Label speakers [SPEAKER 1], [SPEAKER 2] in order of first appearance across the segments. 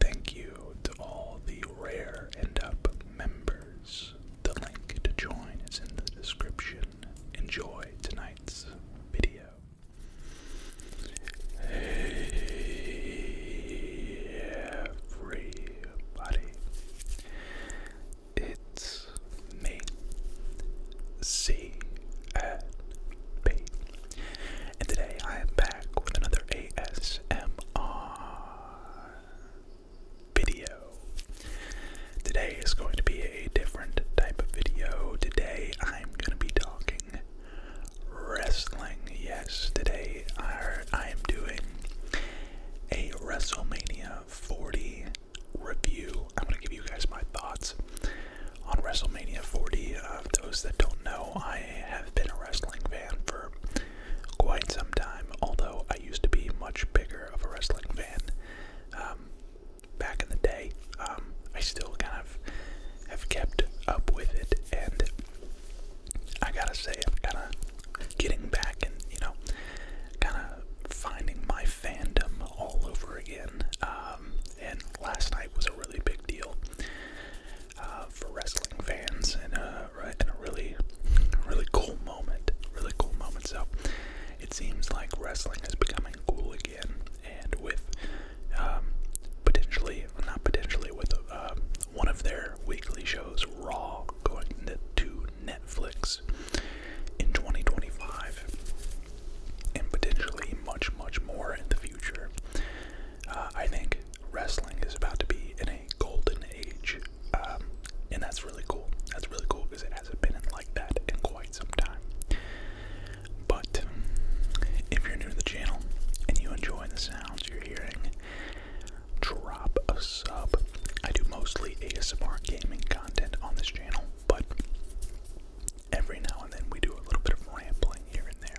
[SPEAKER 1] Thank you to all the Rare end Up members. The link to join is in the description. Enjoy tonight's video. Hey everybody. It's me. C and today I am back with another ASMR video. Today is going to be a different type of video. Today I'm going to be talking wrestling. Yes, today I, am doing a WrestleMania 40 review. I'm going to give you guys my thoughts on WrestleMania 40. Of uh, those that don't know, I I have been a wrestling fan for quite some time, although I used to be much bigger of a wrestling fan um, back in the day. Um, I still kind of have kept up with it, and I gotta say, I'm kind of getting back and, you know, kind of finding my fandom all over again. Um, and last night was a really big deal. Uh, for wrestling fans and uh, a, in a really, really cool moment. Really cool moment. So it seems like wrestling is becoming cool again, and with um, potentially, not potentially, with uh, one of their weekly shows, Raw, going to Netflix in 2025, and potentially much, much more in the future. Uh, I think wrestling is about to be in a golden age, um, and that's really cool. That's really cool because it hasn't been in like that in quite some time. But if you're new to the channel and you enjoy the sounds you're hearing, drop a sub. I do mostly ASMR gaming content on this channel, but every now and then we do a little bit of rambling here and there.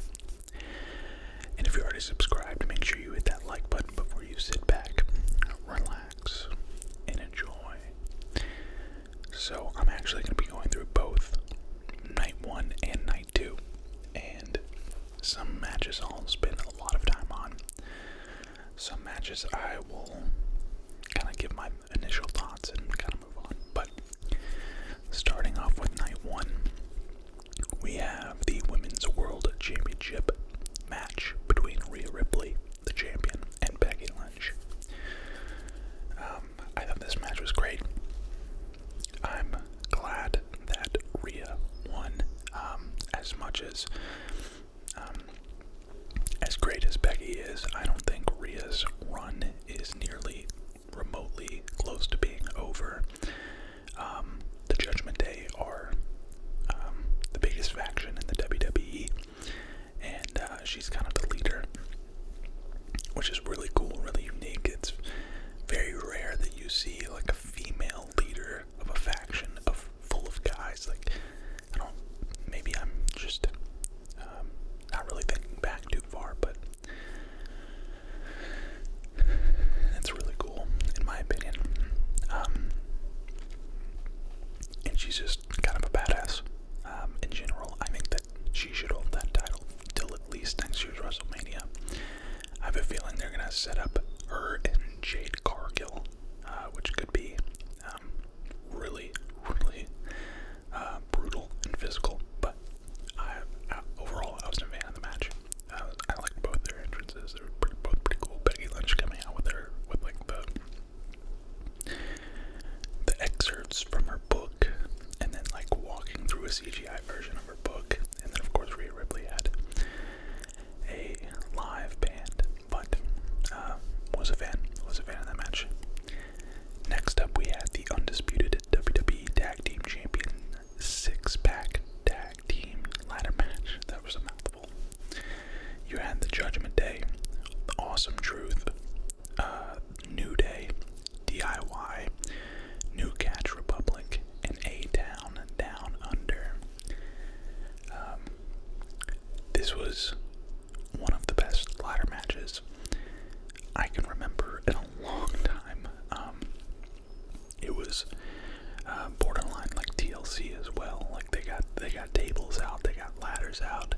[SPEAKER 1] And if you're already subscribed, make sure you hit that like button before you sit back, relax, and enjoy. So, I'm actually going to be going through both night one and night two, and some matches I'll spend a lot of time on. Some matches I will kind of give my initial thoughts and kind of move on. but starting off with night one, we have the Women's World Championship match between Rhea Ripley, the champion, and Becky Lynch. Um, I thought this match was great. I'm glad that Rhea won um, as much as. Um, as great as Becky is, I don't think Rhea's run is nearly remotely close to being over. Um, the Judgment Day are um, the biggest faction in the WWE, and uh, she's kind of the leader, which is really cool, really unique. It's very rare that you see like a female leader of a faction of full of guys. Like I don't, maybe I'm just um, not really thinking back too far, but that's really cool, in my opinion. Um, and she's just kind of a badass um, in general. I think that she should hold that title till at least next year's WrestleMania. I have a feeling they're gonna set up her and Jade Cargill, uh, which could be um, really, really uh, brutal and physical. But overall, I was a fan of the match. I, liked both their entrances. They were pretty, both pretty cool. Becky Lynch coming out with her with like the the excerpts from her book, and then like walking through a CGI version of her book, and then of course Rhea Ripley had a live band. But uh, was a fan. Was a fan of that match. Next up, we had the undisputed WWE Tag Team Champion Six Pack Tag Team Ladder Match. That was a mouthful. You had the Judgment Day, Awesome Truth, uh, New Day, DIY, New Catch Republic, and A Town Down Under. Um, this was one of the best ladder matches I can remember in a long time. Um, it was uh, borderline like TLC as well. Like they got they got tables out, they got ladders out.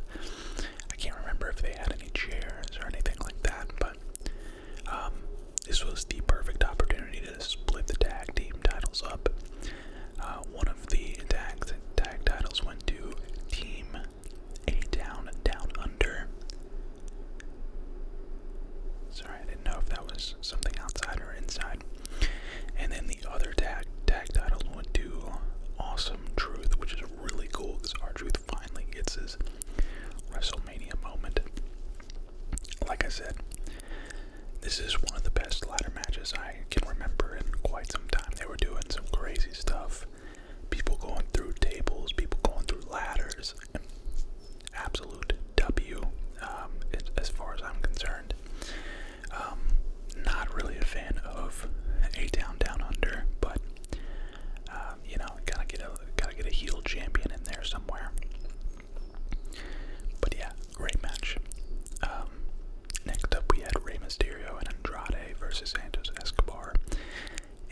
[SPEAKER 1] I can't remember if they had any chairs or anything like that, but um, this was the perfect opportunity to split the tag team titles up. Uh, one of the tag tag titles went to Team a Town Down Under. Sorry, I didn't know if that was something outside or inside. And then the other tag tag title would do Awesome Truth, which is really cool because our truth finally gets his WrestleMania moment. Like I said, this is one of the best ladder matches I can remember in quite some time. They were doing some crazy stuff people going through tables, people going through ladders. Absolute W, um, as far as I'm concerned. Um, not really a fan of A down, Down Under, but um, you know, gotta get a gotta get a heel champion in there somewhere. But yeah, great match. Um, next up, we had Rey Mysterio and Andrade versus Santos Escobar,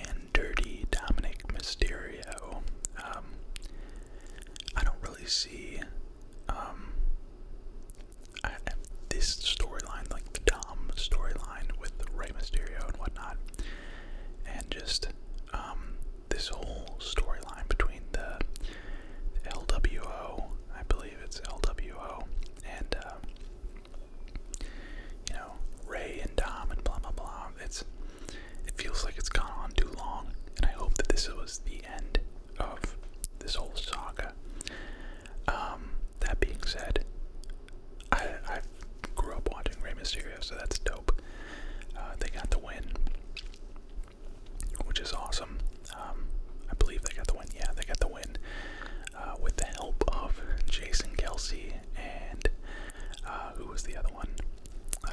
[SPEAKER 1] and dirty Dominic Mysterio. Um, I don't really see um, this storyline, like the Dom storyline with Rey Mysterio and whatnot, and just um, this whole storyline between the, LWO, I believe it's LWO, and uh, you know, Ray and Dom and blah blah blah. It's it feels like it's gone on too long, and I hope that this was the end of this whole saga. Um, that being said, I I grew up watching Rey Mysterio, so that's dope. Uh, they got the win, which is awesome. Um, I believe they got the win. Yeah, they got the win. Uh, with the help of Jason Kelsey
[SPEAKER 2] and uh, who was the other one? Uh,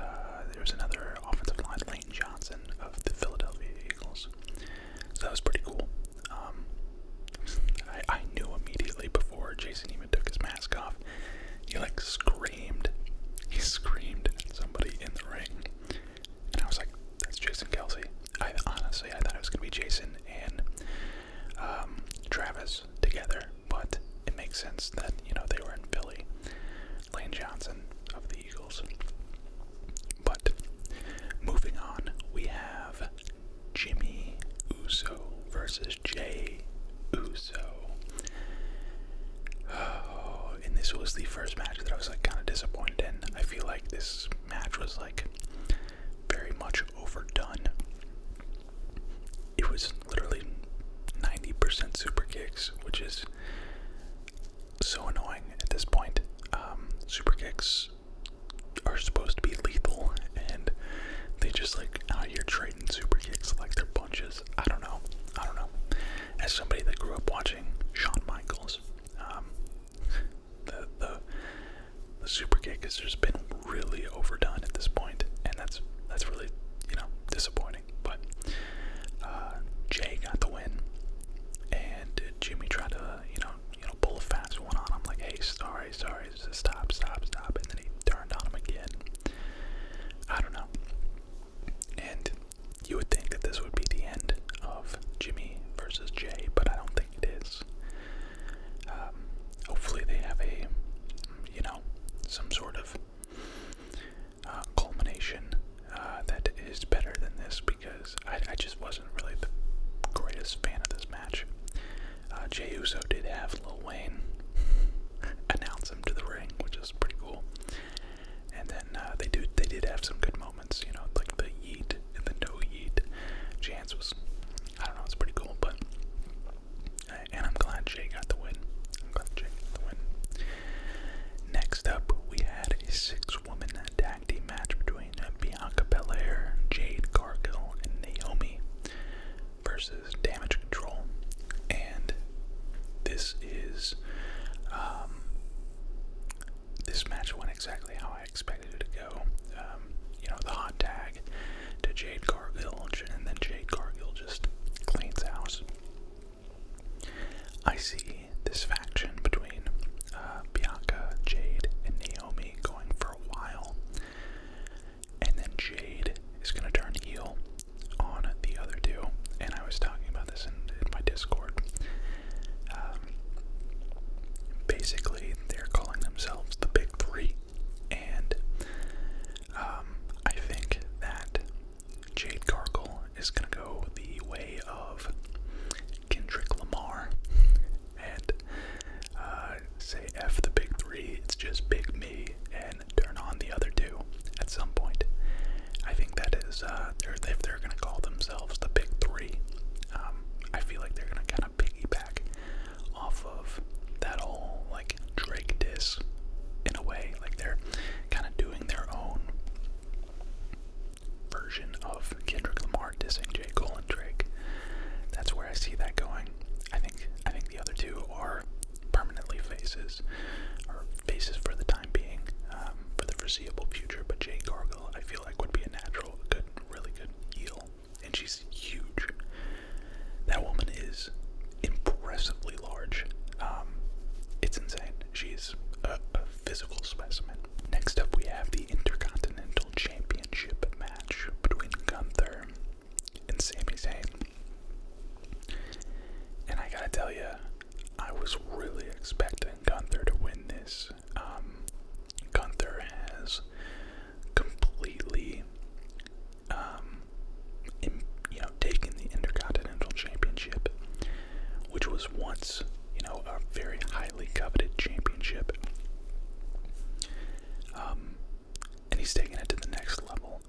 [SPEAKER 2] there was another offensive line, Lane Johnson of the Philadelphia Eagles. So that was pretty cool. Um, I, knew immediately before
[SPEAKER 1] Jason even took his mask off. He like screamed. He screamed somebody in the ring, and I was like, "That's Jason Kelsey." I honestly, I thought it was gonna be Jason and um, Travis together, but it makes sense that you know they were in Philly. Lane Johnson of the Eagles. But moving on, we have Jimmy Uso versus Jay Uso.
[SPEAKER 2] Oh, and this was the first match that I was like kind of disappointed in. I feel like this
[SPEAKER 1] match was like very much overdone it was literally 90% super kicks, which is so annoying at this point. Um, super kicks are supposed to be lethal, and they just like out here trading super kicks like they're punches. I don't know. I don't know. As somebody that grew up watching Sean Michaels, um, the the the super kick has just been really overdone at this point, and that's that's really you know disappointing. But uh, Jay got the win, and Jimmy tried to you know you know pull a fast one on him like, hey, sorry, sorry, stop, stop, stop, and then he turned on him again. I don't know. And you would think that this would be the end of Jimmy versus Jay, but I don't think it is. Um, hopefully they have a, you know, some sort of uh, culmination uh, that is better than this because I, I just wasn't really the greatest fan of this match. Uh, Jey Uso did have Lil Wayne announce him to the ring, which is pretty cool. And then uh, they do they did have some good moments, you know, like the yeet and the no yeet. Chance was I don't know, it's pretty cool, but and I'm glad Jay got the win. got the win. Next up, we had a six-woman tag team match between Bianca Belair, Jade Cargill, and Naomi versus Damage Control, and this is um, this match went exactly how I expected to go, um, you know, the hot tag to Jade Cargill, and then Jade Cargill just cleans house. I see this faction between uh, Bianca, Jade, and Naomi going for a while, and then Jade is going to turn heel on the other two. And I was talking about this in, my Discord. Um, basically, they're calling themselves the Big Three, and um, I think that Jade Cargill is going to go the way of Kendrick Lamar and uh, say F the Big Three, it's just Big Me, and turn on the other two at some point. I think that is, uh, if they're going to call themselves the Big Three, um, I feel like they're going to kind of piggyback off of that whole like Drake diss in a way. Like they're kind of doing their own version of Kendrick Lamar dissing Jay Cole and Drake. That's where I see that going. I think I think the other two are permanently faces, or faces for the time being, um, for the foreseeable future. But Jay Gargill, I feel like, would be a natural, good, really good heel and she's huge. That woman is impressively large. Um, it's insane. She's a, a physical specimen. Next up, we have the Intercontinental Championship match between Gunther and Sami Zayn. And I gotta tell you, I was really expecting Gunther to win this. Um, Gunther has completely, um, you know, taken the Intercontinental Championship, which was once, you know, a very highly coveted championship. Um, and he's taking it to the next level.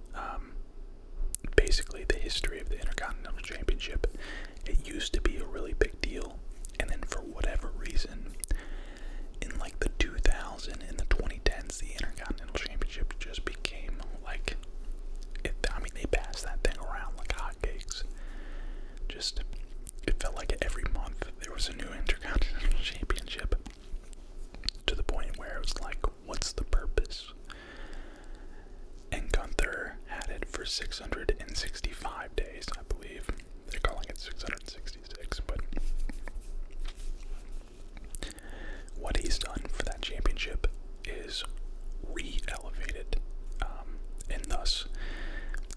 [SPEAKER 1] basically, the history of the Intercontinental Championship. It used to be a really big deal. And then for whatever reason, in like the 2000 and the 2010s, the Intercontinental Championship just became like, it, I mean, they passed that thing around like hotcakes. Just, it felt like every month there was a new Intercontinental Championship to the point where it was like, what's the purpose? And Gunther had it for 665 days, I believe. They're calling it 666, but what he's done for that championship is re-elevated, um, and thus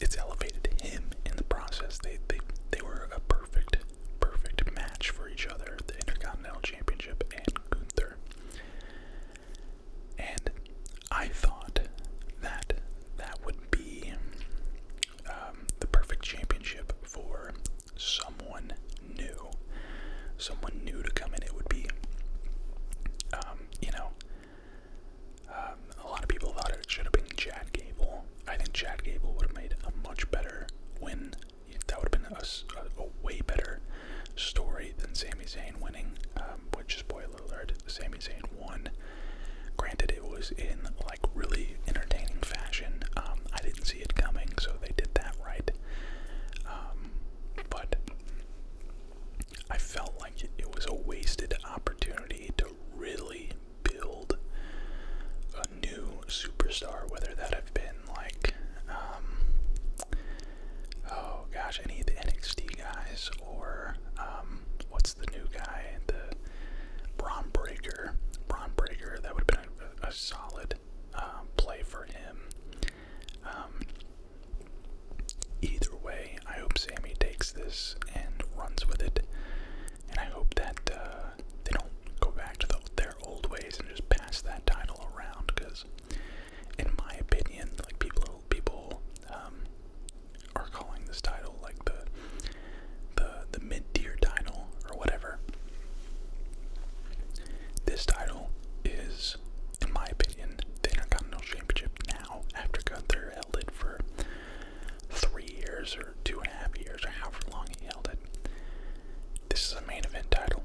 [SPEAKER 1] it's elevated him in the process. They they they were a perfect perfect match for each other, the Intercontinental Championship and Gunther. And I thought that that would be um, the perfect championship for someone new. Someone new to come in. It would be, um, you know, um, a lot of people thought it should have been Chad Gable. I think Chad Gable would have made a much better win. That would have been a, a, way better story than Sami Zayn winning, um, which, spoiler alert, Sammy Sami Zayn won. Granted, it was in like really entertaining fashion. Um, I didn't see it coming, so they did that right. Um, but I felt like it, was a wasted opportunity to really build a new superstar, whether that have been like, um, oh gosh, any of the NXT guys or what's the new guy? The Braun Breaker. Braun Breaker, that would have been a, solid um, play for him. Um, either way, I hope Sammy takes this and runs with it. And I hope that uh, they don't go back to their old ways and just pass that title around because, in my opinion, like people people um, are calling this title like the the the mid-tier title or whatever. This title is, in my opinion, the Intercontinental Championship now after Gunther held it for three years or two and a half years or however long he held it. This is a main event title,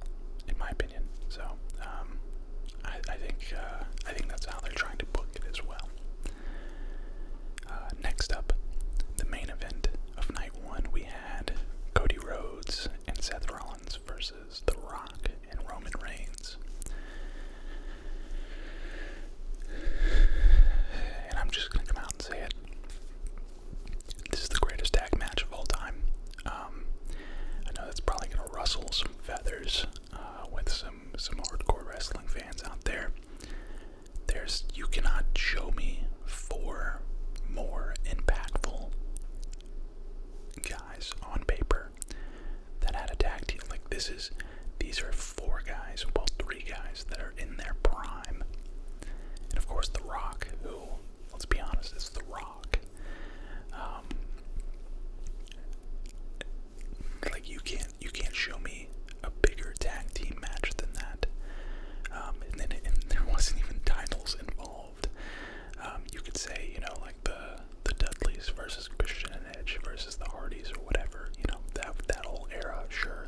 [SPEAKER 1] in my opinion. So um, I, think uh, I think that's how they're trying to book it as well. Uh, next up, the main event of night one, we had Cody Rhodes and Seth Rollins versus The Rock and Roman Reigns. And I'm just gonna come out and say it. This is the greatest tag match of all time. Um, I know that's probably gonna rustle some feathers uh, with some um, some hardcore wrestling fans out there. There's you cannot show me four more impactful guys on paper that had a tag team. Like this is these are four guys, well three guys that are in their prime. And of course The Rock, who, let's be honest, is The Rock. Um, like you can't you can't show me a bigger tag team match than that. Um, and then there wasn't even titles involved. Um, you could say you know like the the Dudleys versus Christian and Edge versus the Hardys or whatever. You know that that whole era, sure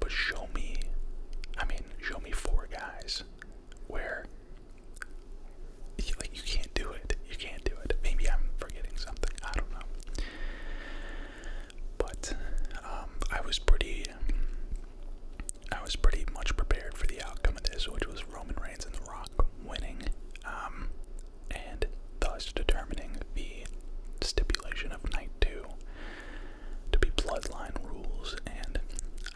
[SPEAKER 1] But show me, I mean, show me four guys where like, you can't do it. You can't do it. Maybe I'm forgetting something. I don't know. But um, I was pretty. I was pretty much prepared for the outcome of this, which was Roman Reigns and The Rock winning, um, and thus determining the stipulation of night two to be bloodline rules. And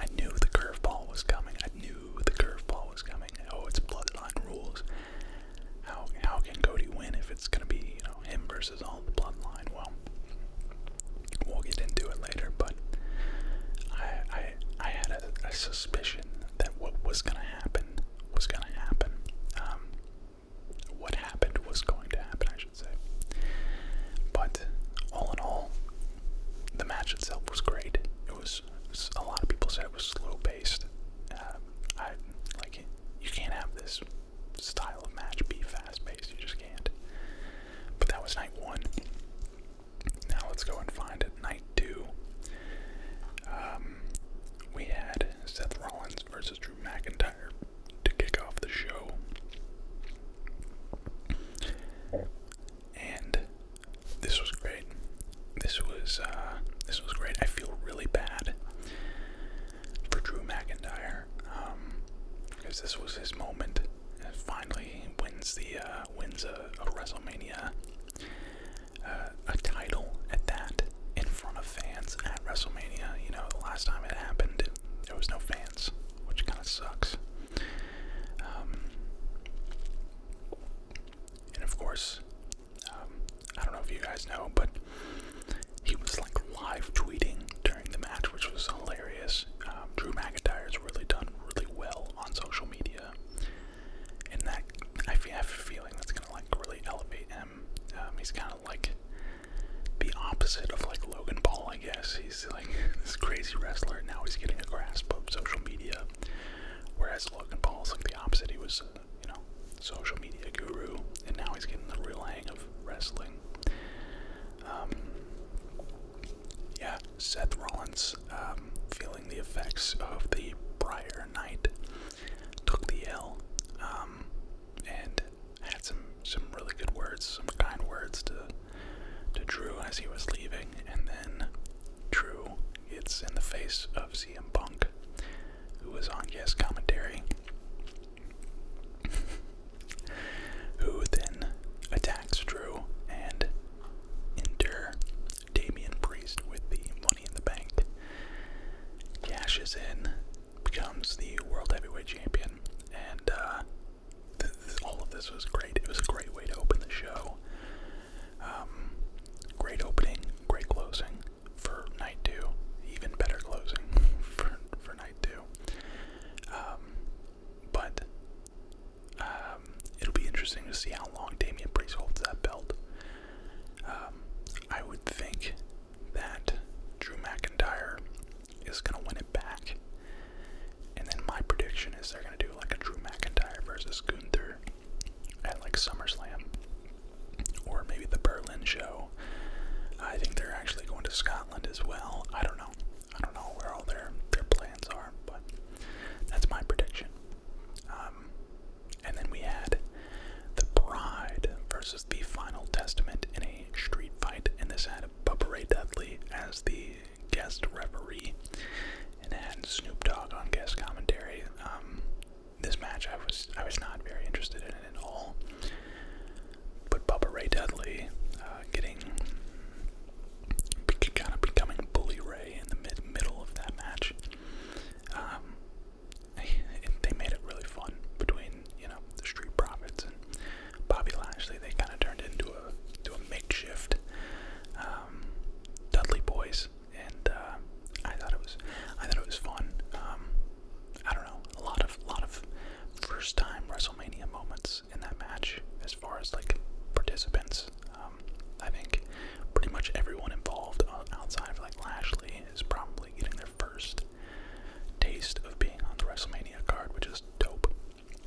[SPEAKER 1] I knew the curveball was coming. I knew the curveball was coming. Oh, it's bloodline rules. How how can Cody win if it's gonna be him versus all the bloodline? Well, we'll get into it later, but I I had a, suspicion that what was gonna happen was gonna happen. Um, what happened was going to happen, I should say. But all in all, the match itself was great. It was a lot of people said it was slow paced. Um, I like you can't have this style of match be fast paced. You just can't. But that was night one. Now let's go and find it. Night two. Um, we had Seth Rollins versus Drew McIntyre to kick off the show. And this was great. This was uh, this was great. I feel really bad for Drew McIntyre um, because this was his moment. And finally, he wins the uh, wins a, WrestleMania uh, a title at that in front of fans at WrestleMania. You know, the last time it happened, there was no fans, which kind of sucks. Um, and of course, um, I don't know if you guys know, but he was like live tweeting during the match, which was hilarious. Um, Drew McIntyre has really done really well on social media, and that I have a feeling that's gonna like really elevate him. Um, he's kind of like the opposite of like Logan Paul, I guess. He's like this crazy wrestler. Now he's getting a grasp of social media Whereas Logan Paul is like the opposite. He was, uh, you know, social media guru, and now he's getting the real hang of wrestling. Um, yeah, Seth Rollins um, feeling the effects of the prior night took the L um, and had some some really good words, some kind words to to Drew as he was leaving, and then True, it's in the face of CM Punk, who was on guest Commentary, who then attacks Drew and enter Damian Priest with the money in the bank, cashes in, becomes the World Heavyweight Champion, and uh, all of this was great. It was a great way to open the show. Um, great opening, great closing for night two. Even better closing for for night two. Um, but um, it'll be interesting to see how long Damian Priest holds that belt. Um, I would think that Drew McIntyre is gonna win it back. And then my prediction is they're gonna do like a Drew McIntyre versus Gunther at like SummerSlam or maybe the Berlin show. I think they're actually going to Scotland as well. I don't know. I don't know where all their their plans are, but that's my prediction. Um, and then we had the Bride versus the Final Testament in a street fight, and this had Bubba Ray Dudley as the guest referee, and it had Snoop Dogg on guest commentary. Um, this match, I was I was not very interested in it at all. But Bubba Ray Dudley uh, getting kind of becoming Bully Ray in the mid middle of that match. Um, they made it really fun between you know the Street Profits and Bobby Lashley. They kind of turned it into a to a makeshift. Um, um, Dudley Boys, and uh, I thought it was I thought it was fun. Um, I don't know a lot of lot of first time WrestleMania moments in that match as far as like participants. Um, I think pretty much everyone involved outside of like Lashley is probably getting their first taste of being on the WrestleMania card, which is dope.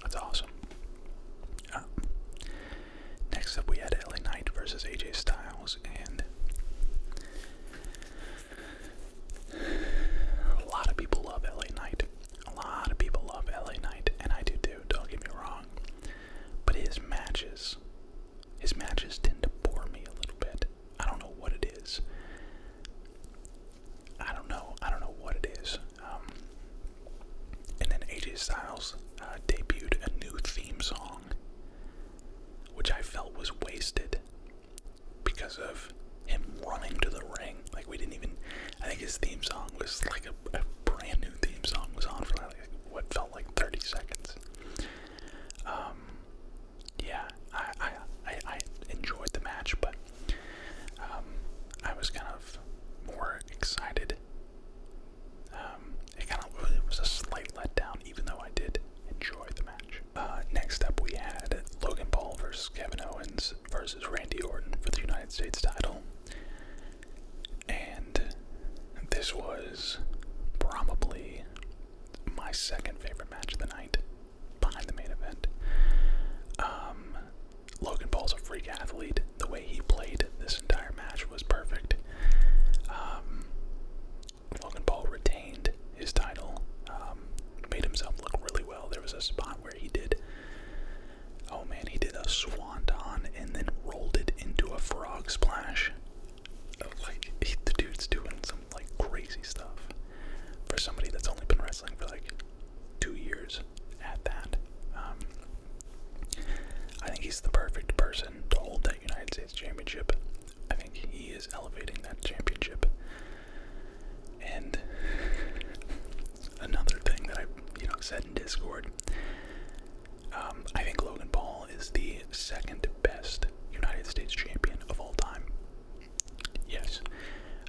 [SPEAKER 1] That's awesome. Um, Next up, we had LA Knight versus AJ Styles, and a lot of people love LA Knight. A lot of people love LA Knight, and I do too, don't get me wrong. But his matches, his matches tend to bore me a little bit. I don't know what it is. I don't know. I don't know what it is. Um, and then AJ Styles uh, debuted a new theme song, which I felt was wasted because of him running to the ring. Like, we didn't even. I think his theme song was like a, brand new theme song, was on for like what felt like 30 seconds. Um, yeah, I, I, I, enjoyed the match, but um, I was kind of more excited um, it kind of was a slight
[SPEAKER 2] letdown, even though I did enjoy the match. Uh, next up, we had Logan Paul versus Kevin Owens versus Randy Orton for the
[SPEAKER 1] United States title, and this was probably my second favorite match of the night behind the main event. Um, Logan Paul's a freak athlete. The way he played this entire match was perfect. Um, Logan Paul retained his title, um, made himself look really well. There was a spot where he did, oh man, he did a swanton and then rolled it into a frog splash. Like, the dude's doing some like crazy stuff for somebody that's only been wrestling for like two years at that. Um, I think he's the perfect person to hold that United States championship. I think he is elevating that championship. And another thing that I, you know, said in Discord, um, I think Logan Paul is the second best United States champion of all time. Yes,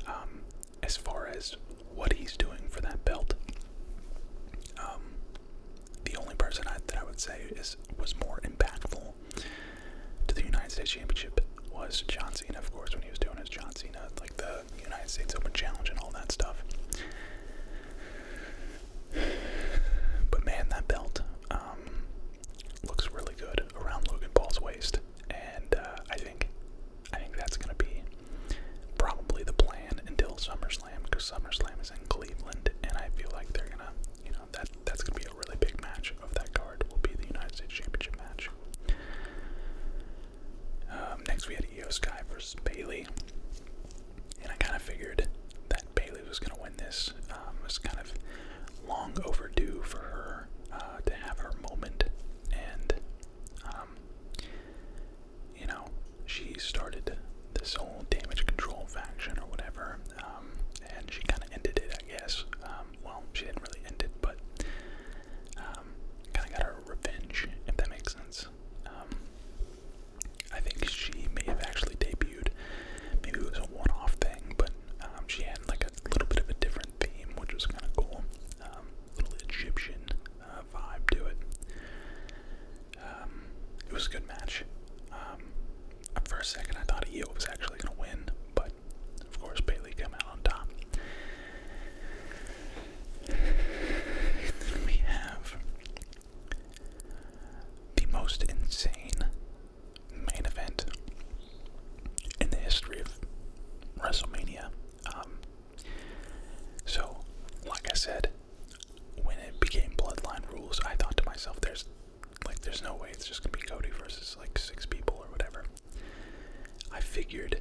[SPEAKER 1] um, as far as what he's doing for that belt. Um, the only person I, that I would say is was more impactful to the United States Championship was John Cena, of course, when he was doing his John Cena, like the United States Open Challenge and all that stuff. But man, that belt um, looks really good around Logan Paul's waist, and uh, I think I think that's going to be probably the plan until SummerSlam because SummerSlam is in Cleveland, and I feel like they're going to, you know, that that's going to be a really big match of that card will be the United States Championship match. Um, next, we had Io Sky versus Bailey, and I kind of figured that Bailey was going to win this. Um, it was kind of long overdue for her uh, to have her moment, and um, you know, she started this whole damage control faction or whatever, um, and she kind of ended it, I guess. Um, well, she didn't really end it, but um, kind of got her revenge, if that makes sense. Um, I think she may have actually debuted. Maybe it was a one-off thing, but she had like a little bit of a different theme, which was kind of cool little Egyptian uh, vibe to it. Um, it was a good match. for um, a second, I thought Io was actually going to win, but of course, Bailey came out on top. we have the most insane main event in the history of WrestleMania. Um, so, like I said, when it became Bloodline rules, I thought to myself, "There's like, there's no way it's just gonna be Cody versus like six people or whatever." I figured,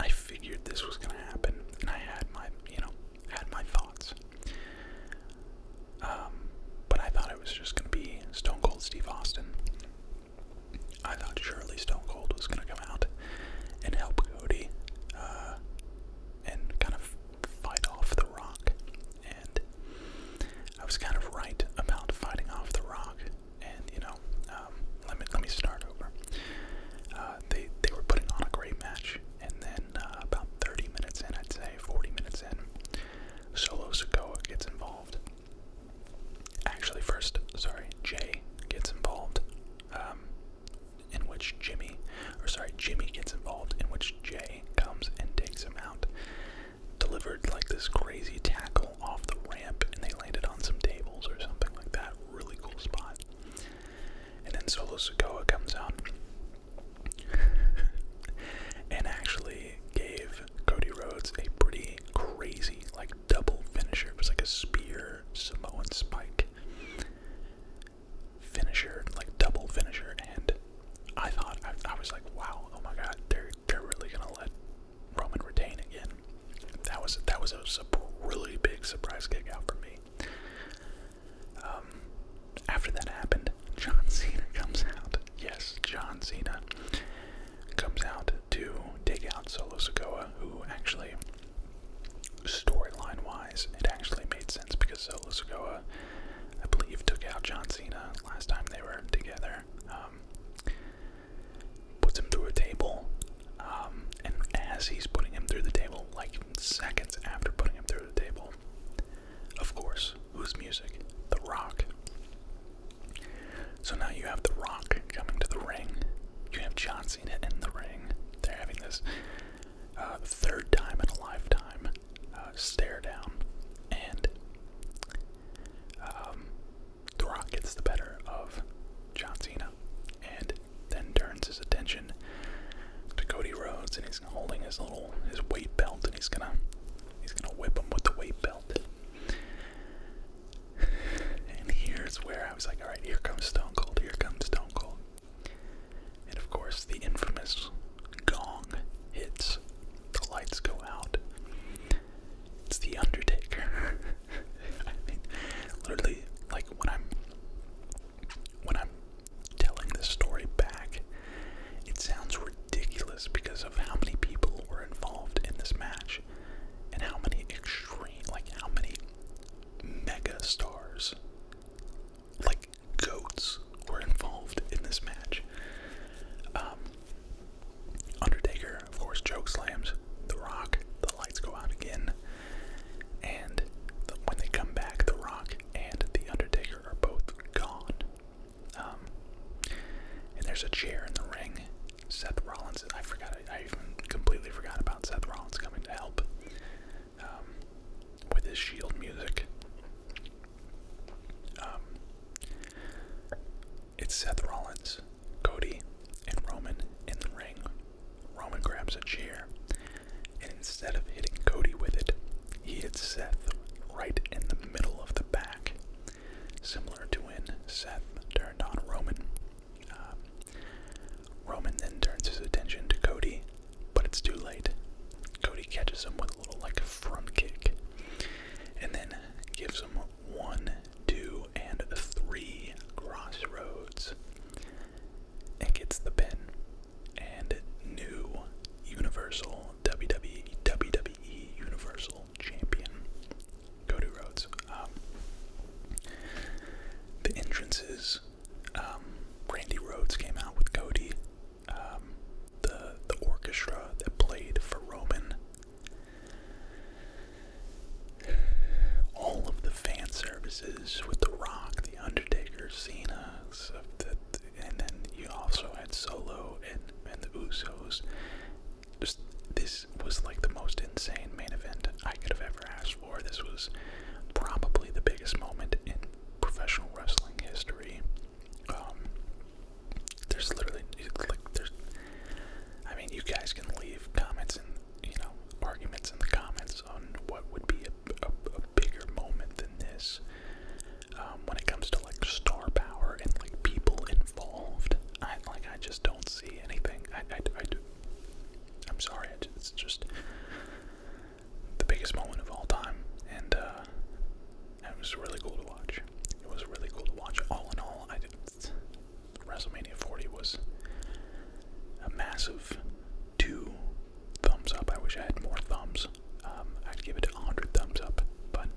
[SPEAKER 1] I figured this was gonna happen, and I had my, you know, had my thoughts. Um, but I thought it was just gonna be Stone Cold Steve Austin. I thought Shirley Stone Cold was going to come out and help Cody uh, and kind of fight off The Rock. And I was kind of right about fighting off The Rock. And, you know, um, let, me, let me start over. Uh, they,
[SPEAKER 2] they were putting on a great match. And then uh, about 30 minutes in, I'd say, 40 minutes in, Solo Sokoa gets involved. Actually, first, sorry, Jay gets involved, um,
[SPEAKER 1] in which Jimmy, or sorry, Jimmy gets involved, in which Jay comes and takes him out. Delivered like this crazy tackle off the ramp, and they landed on some tables or something like that. Really cool spot. And then Solo Sokoa comes out and actually gave Cody Rhodes a pretty crazy, like double finisher. It was like a spear, samoa and spike finisher, like double finisher. And I thought, I, was like, wow, oh my god, they're they're really gonna let Roman retain again. That was that was a really big surprise kick out for me. Um, after that happened, John Cena comes out. Yes, John Cena comes out to take out Solo Sokoa, who actually, storyline wise, it actually made sense because Solo Sokoa, I believe, took out John Cena last time they were together. Um, puts him through a table, um, and as he's putting him through the table, like seconds after putting him through the table, of course, whose music? The Rock. So now you have The Rock coming to the ring. You have John Cena in the ring. They're having this uh, third time in a lifetime uh, stare down, and um, The Rock gets the better of John Cena, and then turns his attention to
[SPEAKER 2] Cody Rhodes, and he's holding his little his weight belt, and he's gonna he's gonna whip him with the
[SPEAKER 1] weight belt. And here's where I was like, alright, here comes Stone Cold, here comes Stone Cold. And of course, the infamous gong hits, the lights go out. It's The Undertaker. I mean, literally, like when I'm when I'm telling this story back, it sounds ridiculous because of how many people were involved in this match and how many extreme, like how many mega stars, like goats, were involved in this match. Um, Undertaker, of course, choke slams The Rock. The lights go out again, and when they come back, The Rock and The Undertaker are both gone. Um, and there's a chair in the ring, Seth Rollins. I forgot. I even completely forgot about Seth Rollins coming to help um, with his Shield music. Um, it's Seth Rollins, Cody, and Roman in the ring.
[SPEAKER 2] Roman grabs a chair, and instead of hitting Cody with it, he hits
[SPEAKER 1] Seth right in the middle of the back, similar to when Seth turned on Roman um, Roman then turns his attention to Cody, but it's too late. Cody catches him with a little like a front kick, and then gives him one, two, and three crossroads, and gets the pin. And new Universal WWE WWE Universal champion Cody Rhodes. Um, the entrances, um, Randy Rhodes came out with Cody. Um, the the orchestra that played for Roman. All of the fan services with The Rock, The Undertaker, Cena, and then you also had Solo and, and the Usos, just this was like the most insane main event I could have ever asked for. This was probably the biggest moment in professional wrestling history. Um, there's literally like there's. I
[SPEAKER 2] mean, you guys can leave comments and you know arguments in the comments on what would be a,
[SPEAKER 1] a, bigger moment than this um, when it comes to like star power and like people involved. I like I just don't see anything. I I, I do. I'm sorry. It's just the biggest moment of all time, and uh, it was really cool to watch. It was really cool to watch. All in all, I did. WrestleMania 40 was a massive two thumbs up. I wish I had more thumbs. Um, I'd give it a 100 thumbs up, but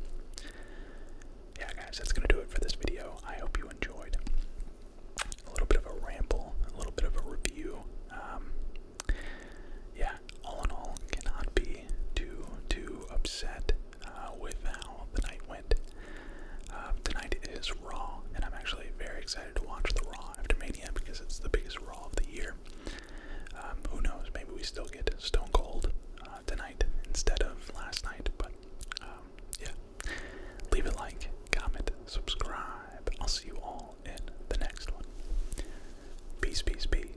[SPEAKER 1] yeah, guys, that's going to do it for this video. I hope you enjoyed a little bit of a ramble, a little bit of a review. Um, yeah, all in all, cannot be too, too upset uh, with how the night went. Uh, um, tonight is Raw, and I'm actually very excited to watch the Raw after Mania because it's the biggest Raw of the year. Um, who knows? Maybe we still get Stone Cold uh, tonight instead of last night, but uh, yeah, leave a like, comment, subscribe. I'll see you all in the next one. Peace, peace, peace.